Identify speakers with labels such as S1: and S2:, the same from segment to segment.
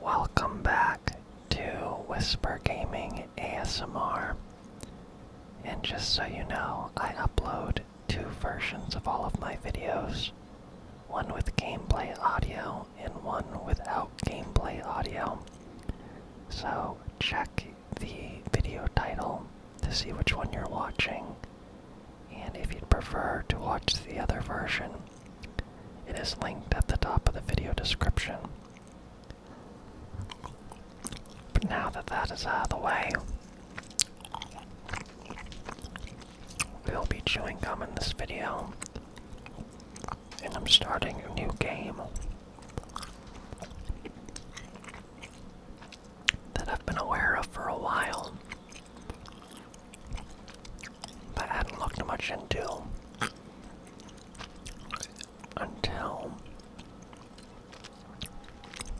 S1: Welcome back to Whisper Gaming ASMR. And just so you know, I upload two versions of all of my videos one with gameplay audio and one without gameplay audio. So check the video title to see which one you're watching and if you'd prefer to watch the other version, it is linked at the top of the video description. But now that that is out of the way, we'll be chewing gum in this video. And I'm starting a new game that I've been aware of for a while. But I hadn't looked much into until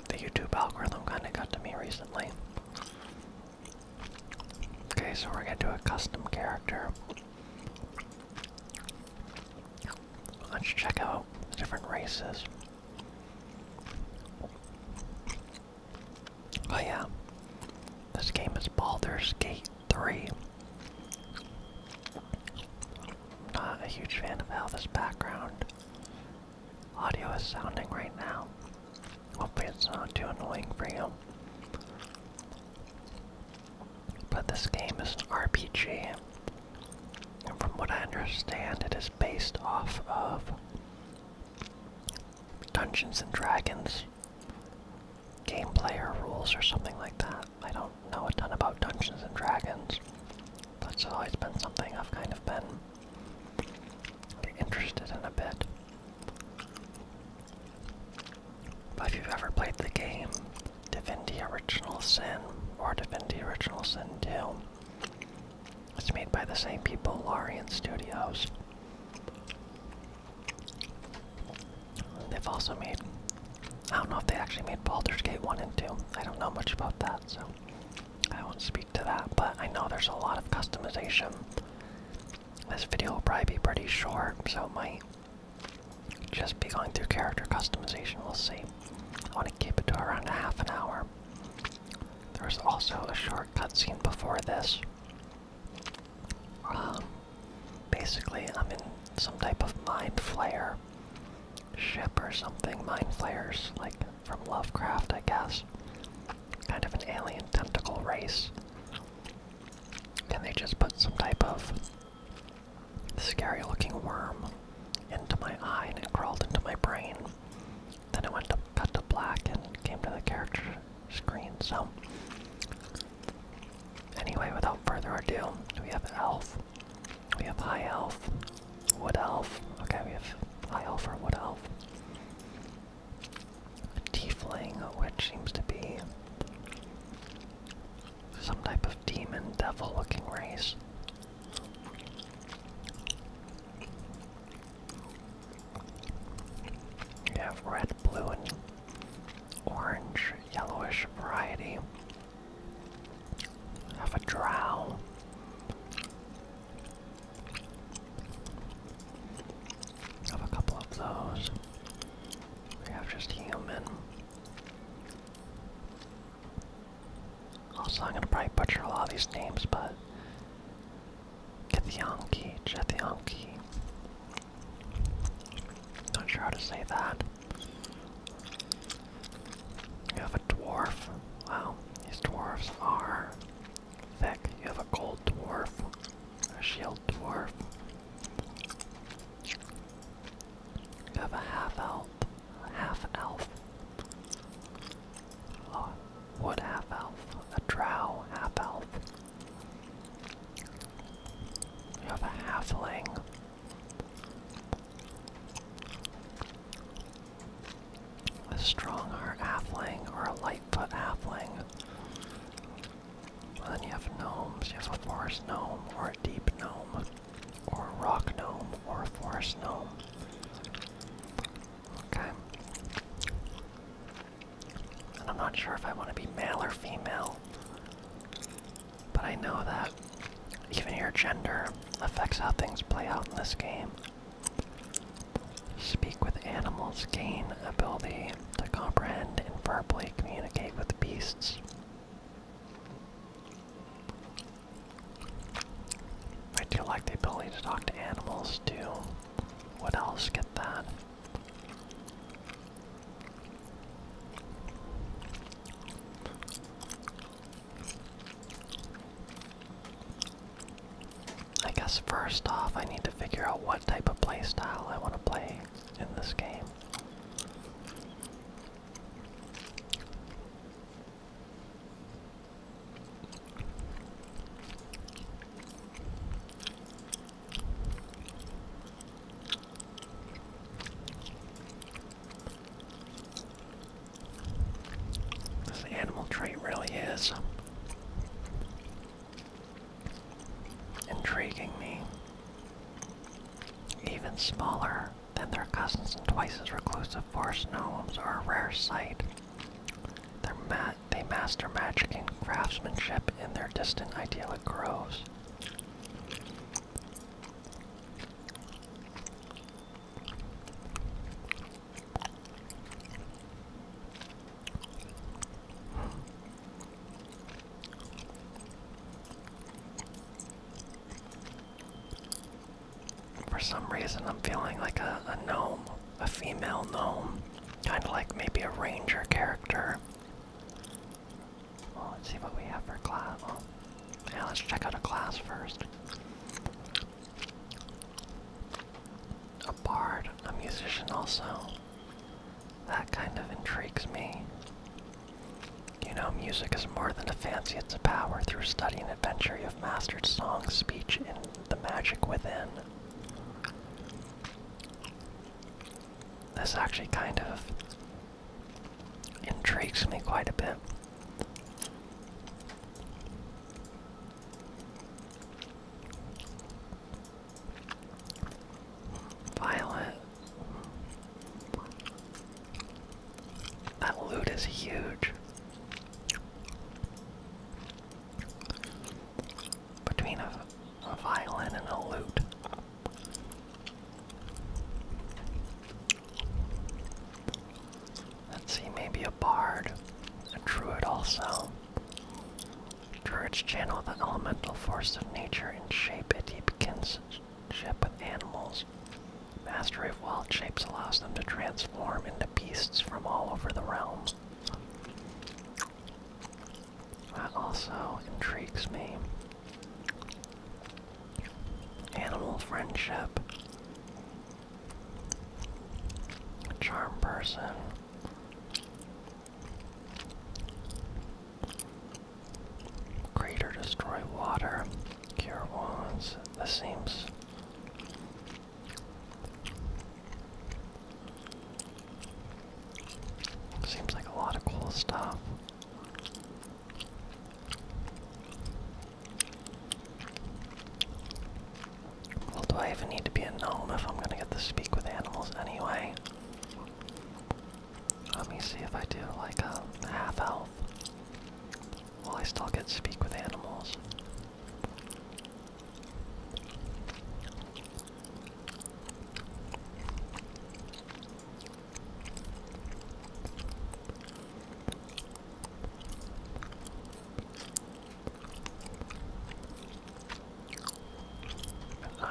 S1: the YouTube algorithm kind of got to me recently. Okay, so we're gonna do a custom character. Let's check out the different races. Oh yeah, this game is Baldur's Gate 3. Not a huge fan of how this background audio is sounding right now. Hopefully it's not too annoying for you. But this game is an RPG, and from what I understand, it is based off of Dungeons and Dragons rules, game player rules, or something like that. I don't know a ton about Dungeons and Dragons. That's always been something I've kind of been interested in a bit. But if you've ever played the game Divinity Original Sin or Divinity Original Sin 2, it's made by the same people, Larian Studios. They've also made. I don't know if they actually made Baldur's Gate 1 and 2. I don't know much about that, so I won't speak to that, but I know there's a lot of customization. This video will probably be pretty short, so might just be going through character customization. We'll see. I want to keep it to around a half an hour. There was also a short cutscene before this um, basically, I'm in some type of mind flare ship or something. Mind flayers, like from Lovecraft, I guess. Kind of an alien tentacle race. And they just put some type of scary looking worm into my eye and it crawled into my brain. Then it went to cut to black and came to the character screen. So, anyway, without further ado, we have elf, we have high elf, wood elf. Okay, we have high elf or wood elf. Tiefling, which seems to be some type of demon devil looking race. You have red, blue, and orange, yellowish variety. You have a drow. You have a couple of those. We have just human. Also, I'm gonna probably butcher a lot of these names, but Githyanki, Jethyanki. Not sure how to say that. You have a dwarf. Wow, these dwarves are thick. You have a gold dwarf, a shield dwarf. You have a half elf, half elf. Oh, wood half elf, a drow half elf. You have a halfling. A strong heart halfling or a lightfoot halfling. Well, then you have gnomes. You have a forest gnome or a deep gnome or a rock gnome or a forest gnome. Okay. And I'm not sure if I want to be male or female. But I know that even your gender affects how things play out in this game. Speak with animals, gain ability to comprehend and verbally communicate with beasts. I do like the ability to talk to animals too. What else? Get that. I guess first off, I need to figure out what type of playstyle I want to play in this game. This animal trait really is intriguing me. Even smaller than their cousins and twice as reclusive forest gnomes are a rare sight. Their massive they master magic and craftsmanship in their distant idyllic groves. For some reason, I'm feeling like a gnome a female gnome, kind of like maybe a ranger character. Well, let's see what we have for class. Well, oh, yeah, let's check out a class first. A bard, a musician also. That kind of intrigues me. You know, music is more than a fancy, it's a power. Through study and adventure, you have mastered song, speech, and the magic within. This actually kind of intrigues me quite a bit. Violet. That loot is huge between a, violin and a lute. Let's see, maybe a bard, a druid also. Druids channel the elemental force of nature and shape it. He begins ship with animals. Mastery of wild shapes allows them to transform into beasts from all over the realms. That also intrigues me. Animal friendship. Charm person. Crater destroy water. Cure wounds. This seems Seems like a lot of cool stuff. Well, do I even need to be a gnome if I'm gonna get to speak with animals anyway? Let me see if I do like a half elf. Will I still get to speak with animals?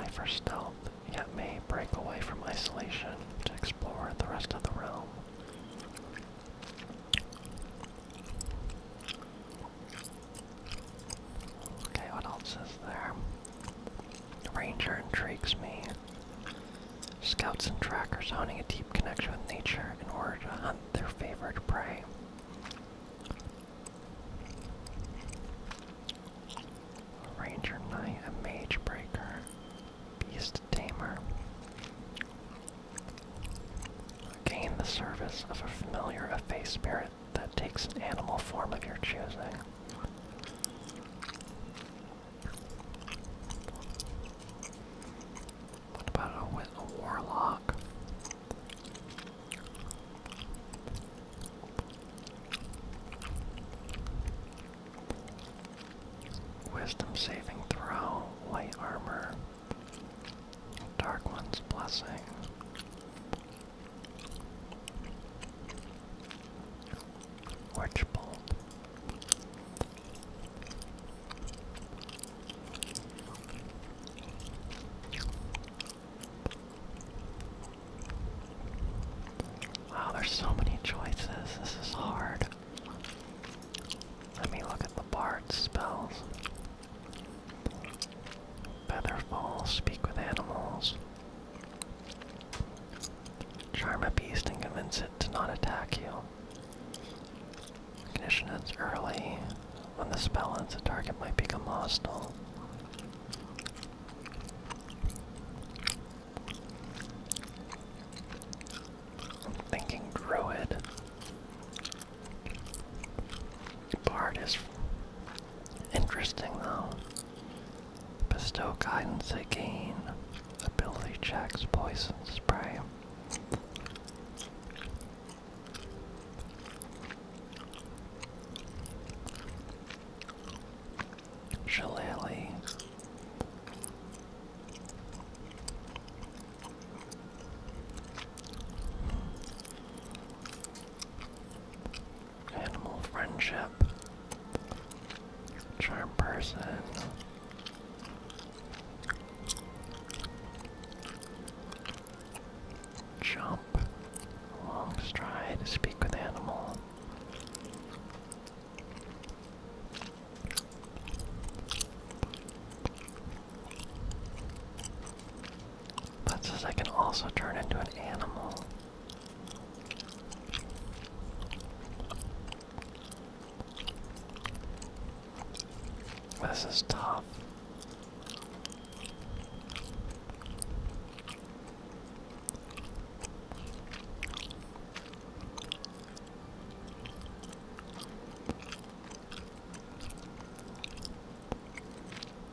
S1: An for stealth, yet may break away from isolation to explore the rest of the realm. Okay, what else is there? Ranger intrigues me. Scouts and trackers honing a deep connection with nature in order to hunt their favorite prey. Ranger Knight, a Mage Breaker, Beast Tamer. Gain the service of a familiar of faith spirit that takes an animal form of your choosing. What about a, a warlock? Wisdom saving throw, light armor. Dark One's Blessing. Witch Bolt. Wow, there's so many choices. This is hard. Let me look at the bard spells. Featherfall, speak with animals. Charm a beast and convince it to not attack you. Ignition ends early. When the spell ends, the target might become hostile. thinking Druid. Part is interesting though. Bestow guidance again. Ability checks, poison spray. Shillelagh. Animal friendship. Charm person. Jump. Long stride. Speak with animal. That says I can also turn into an animal. This is tough.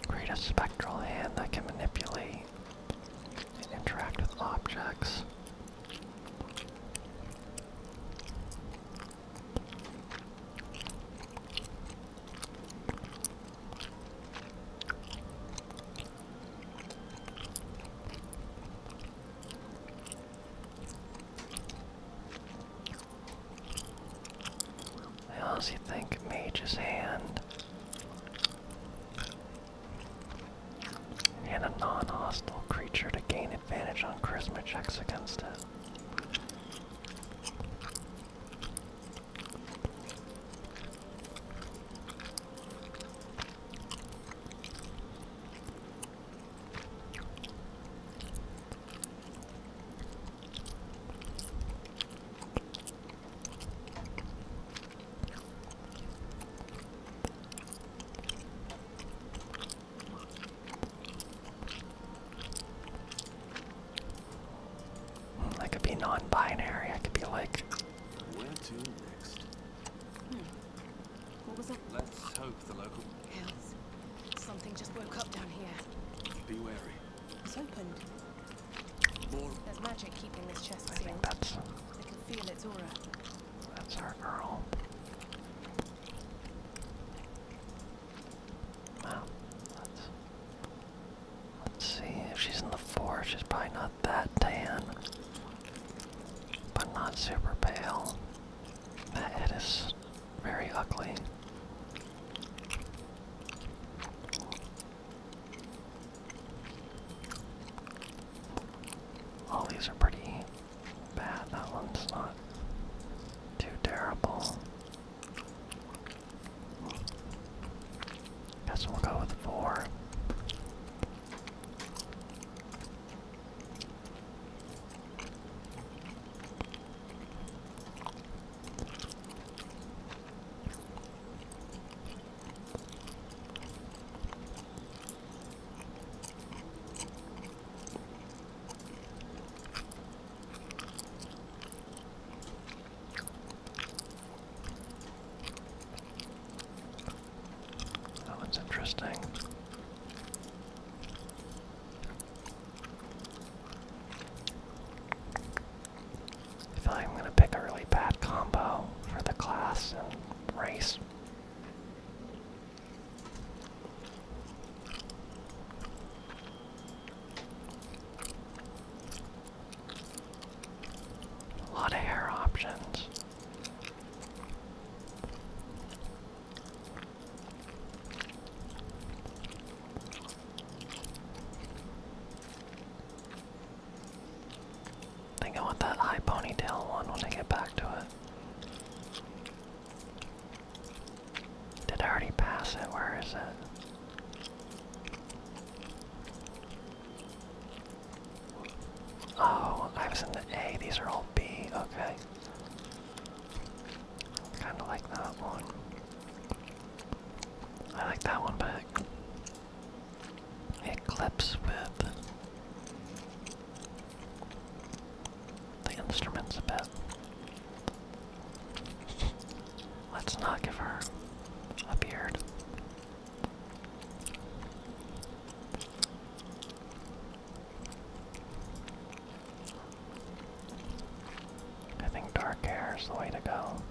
S1: Create a spectral hand that can manipulate and interact with objects. I also think Mage's Hand and a non-hostile creature to gain advantage on charisma checks against it. Hmm, I could be non-binary. I could be like. Hmm. Let's hope the local Hells. Something just woke up down here. Be wary. It's opened. There's magic keeping this chest sealed. that's... I can feel its aura. That's our girl. let's... Let's see. If she's in the forest, she's probably not that tan. But not super pale. That very ugly. All these are pretty bad. That one's not too terrible. Guess we'll go with four. That looks interesting. I feel like I'm gonna pick a really bad combo for the class and race. A lot of hair options think I want that high ponytail one when I get back to it. Did I already pass it? Where is it? Oh, I was in the A. These are all B. Okay. Kind of like that one. I like that one, but it, clips with the instruments a bit. Let's not give her a beard. I think dark hair is the way to go.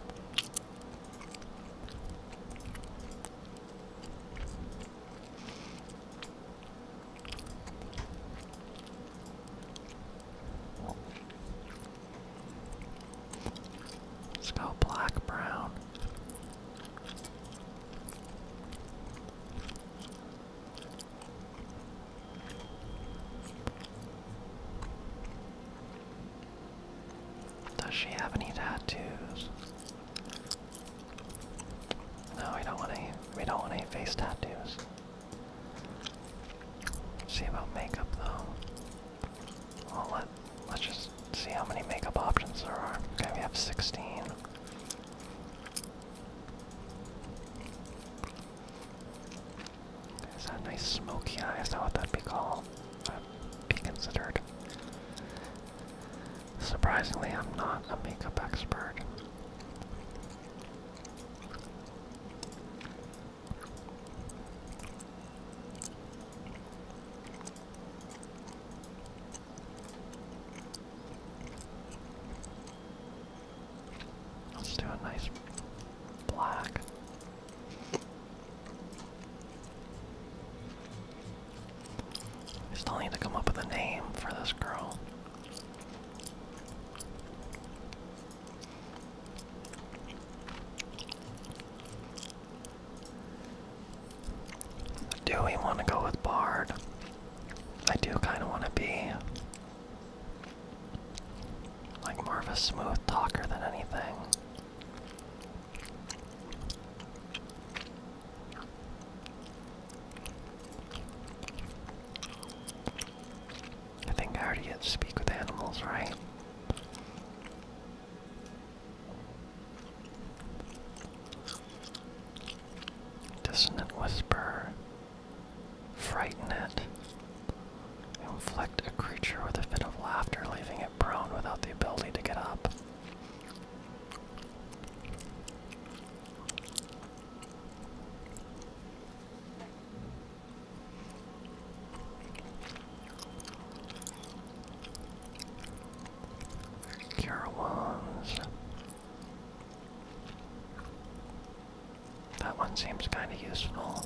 S1: Let's go black brown. Does she have any tattoos? No, we don't want any we don't want any face tattoos. see about makeup though. Well let let's just see how many makeup options there are. Okay, we have sixteen. Is that a nice smoky eye? Is that what that'd be called? be considered. Surprisingly, I'm not a makeup expert. Let's do a nice black. I still need to come up with a name for this girl. Do we want to go with Bard? I do kind of want to be like more of a smooth talker than anything. I think I already speak with animals, right? Dissonant whisper. Frighten it. Inflict a creature with a fit of laughter, leaving it prone without the ability to get up. Cure Wands. That one seems kind of useful.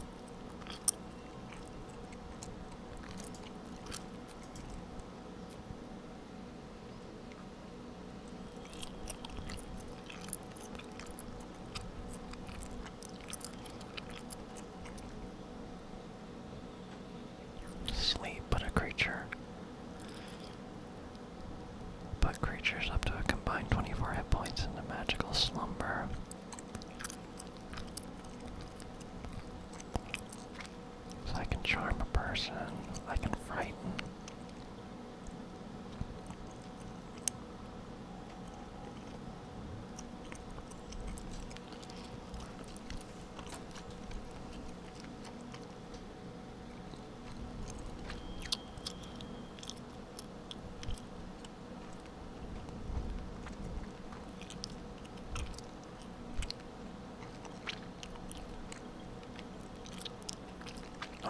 S1: Sleep, but a creature. But creatures up to a combined 24 hit points into magical slumber. So I can charm a person, I can frighten.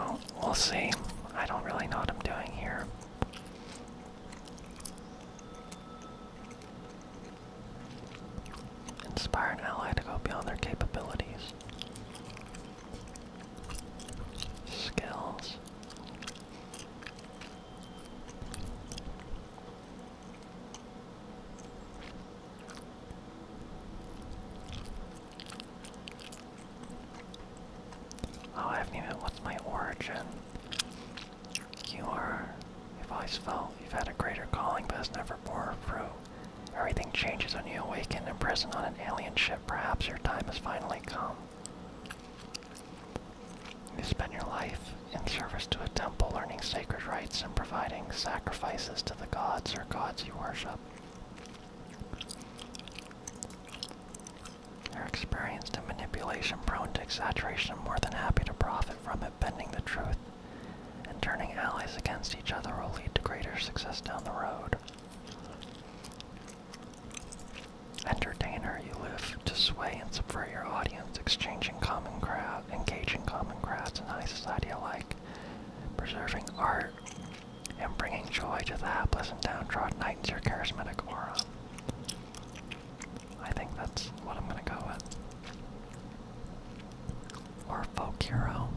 S1: Oh, we'll see. I don't really know what I'm doing here. Inspire an ally to go beyond their capabilities skills. Oh, I haven't even. What's my origin? You are. You've always felt you've had a greater calling, but has never bore fruit. Everything changes when you awaken in prison on an alien ship. Perhaps your time has finally come. You spend your life in service to a temple, learning sacred rites and providing sacrifices to the gods or gods you worship. You're experienced in manipulation, prone to exaggeration, and more than happy to profit from it, bending the truth and turning allies against each other will lead to greater success down the road. Entertainer, you live to sway and subvert your audience, exchanging common crowd, engaging common crowds and high society alike, preserving art, and bringing joy to the hapless and downtrodden heightens your charismatic aura. I think that's what I'm gonna go with. Or folk hero.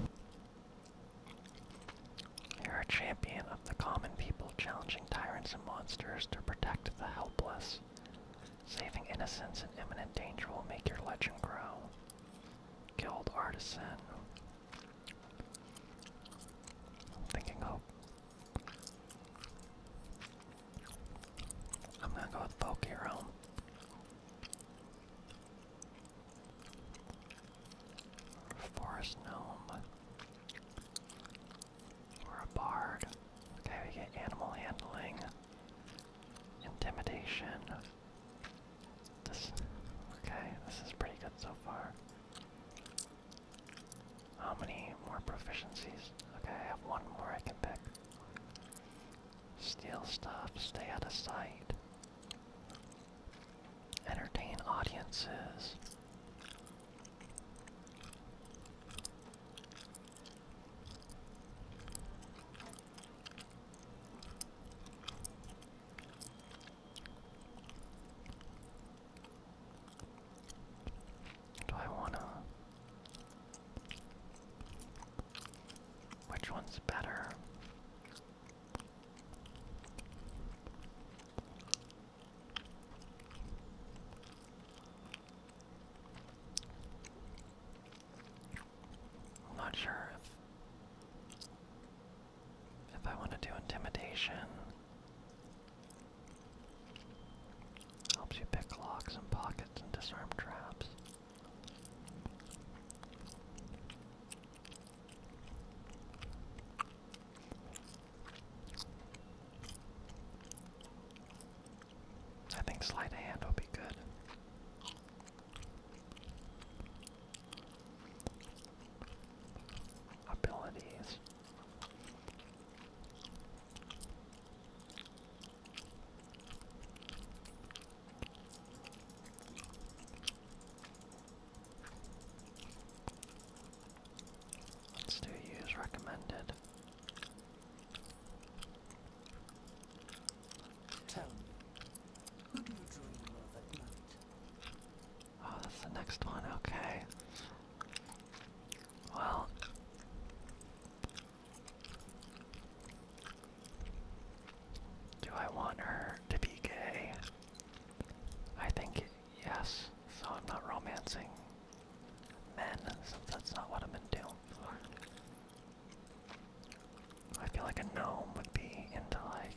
S1: You're a champion of the common people, challenging tyrants and monsters to protect the helpless. Saving innocents in imminent danger will make your legend grow. Guild Artisan. thinking I'm gonna go with Folk Forest gnome. We're a bard. Okay, we get animal handling. Intimidation. This okay, this is pretty good so far. How many more proficiencies? Okay, I have one more I can pick. Steal stuff, stay out of sight entertain audiences. Do I want to? Which one's better? i not sure if if I want to do intimidation. Helps you pick locks and pockets and disarm traps. I think sleight of hand will be good. Abilities. Let's do use recommended. Tell me, who do you dream of at night? Oh, that's the next one, okay. Well, do I want her to be gay? I think yes, so I'm not romancing men, since that's not what I'm into. I feel like a gnome would be into like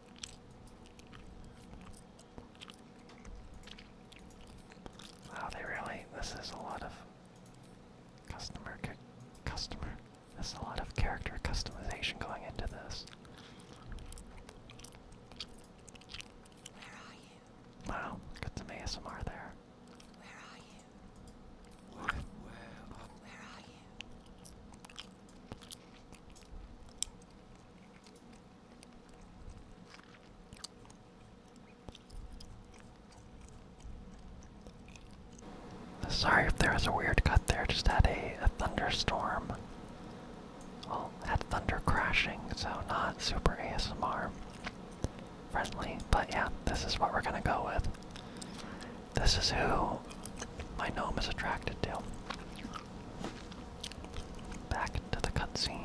S1: Wow, they really, this is a lot of customer, customer, is a lot of character customization going into this. Where are you? Wow, got some ASMR there. where are you? Sorry if there was a weird cut there, just had a, thunderstorm. Oh, had thunder crashing, so not super ASMR friendly, but yeah, this is what we're gonna go with. This is who my gnome is attracted to. Back to the cutscene.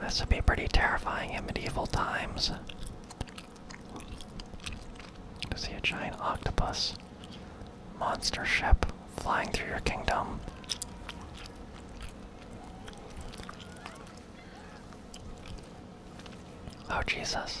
S1: This would be pretty terrifying in medieval times. To see a giant octopus monster ship flying through your kingdom. Oh, Jesus.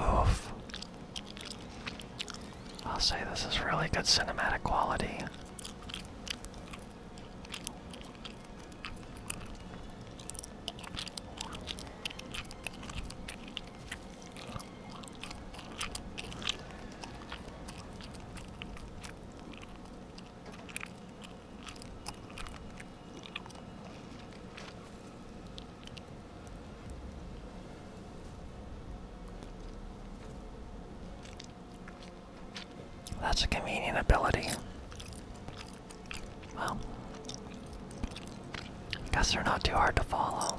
S1: Oof. I'll say this is really good cinematic quality. That's a convenient ability. Well, guess they're not too hard to follow.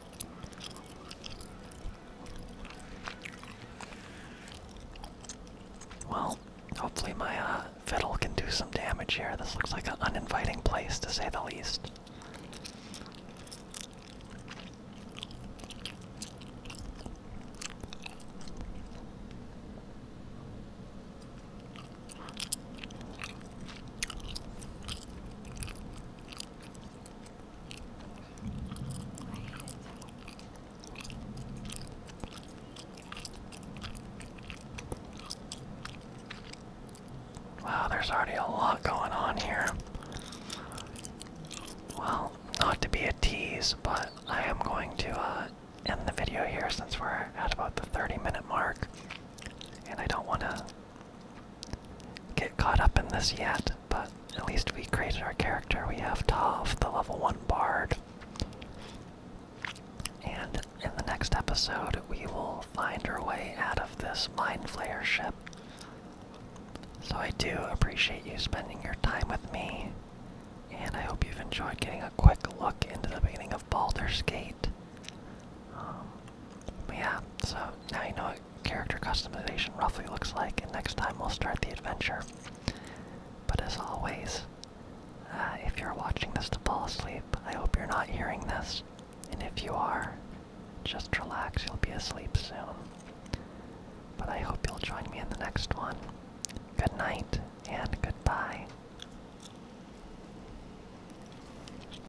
S1: Well, hopefully my uh, fiddle can do some damage here. This looks like an uninviting place, to say the least. Wow, there's already a lot going on here. Well, not to be a tease, but I am going to uh, end the video here since we're at about the 30 minute mark. And I don't want to get caught up in this yet, but at least we created our character. We have Tav, the level 1 bard. And in the next episode, we will find our way out of this Mind Flayer ship. So I do appreciate you spending your time with me, and I hope you've enjoyed getting a quick look into the beginning of Baldur's Gate. Um, yeah, so now you know what character customization roughly looks like, and next time we'll start the adventure. But as always, uh, if you're watching this to fall asleep, I hope you're not hearing this. And if you are, just relax, you'll be asleep soon. But I hope you'll join me in the next one. Good night, and goodbye.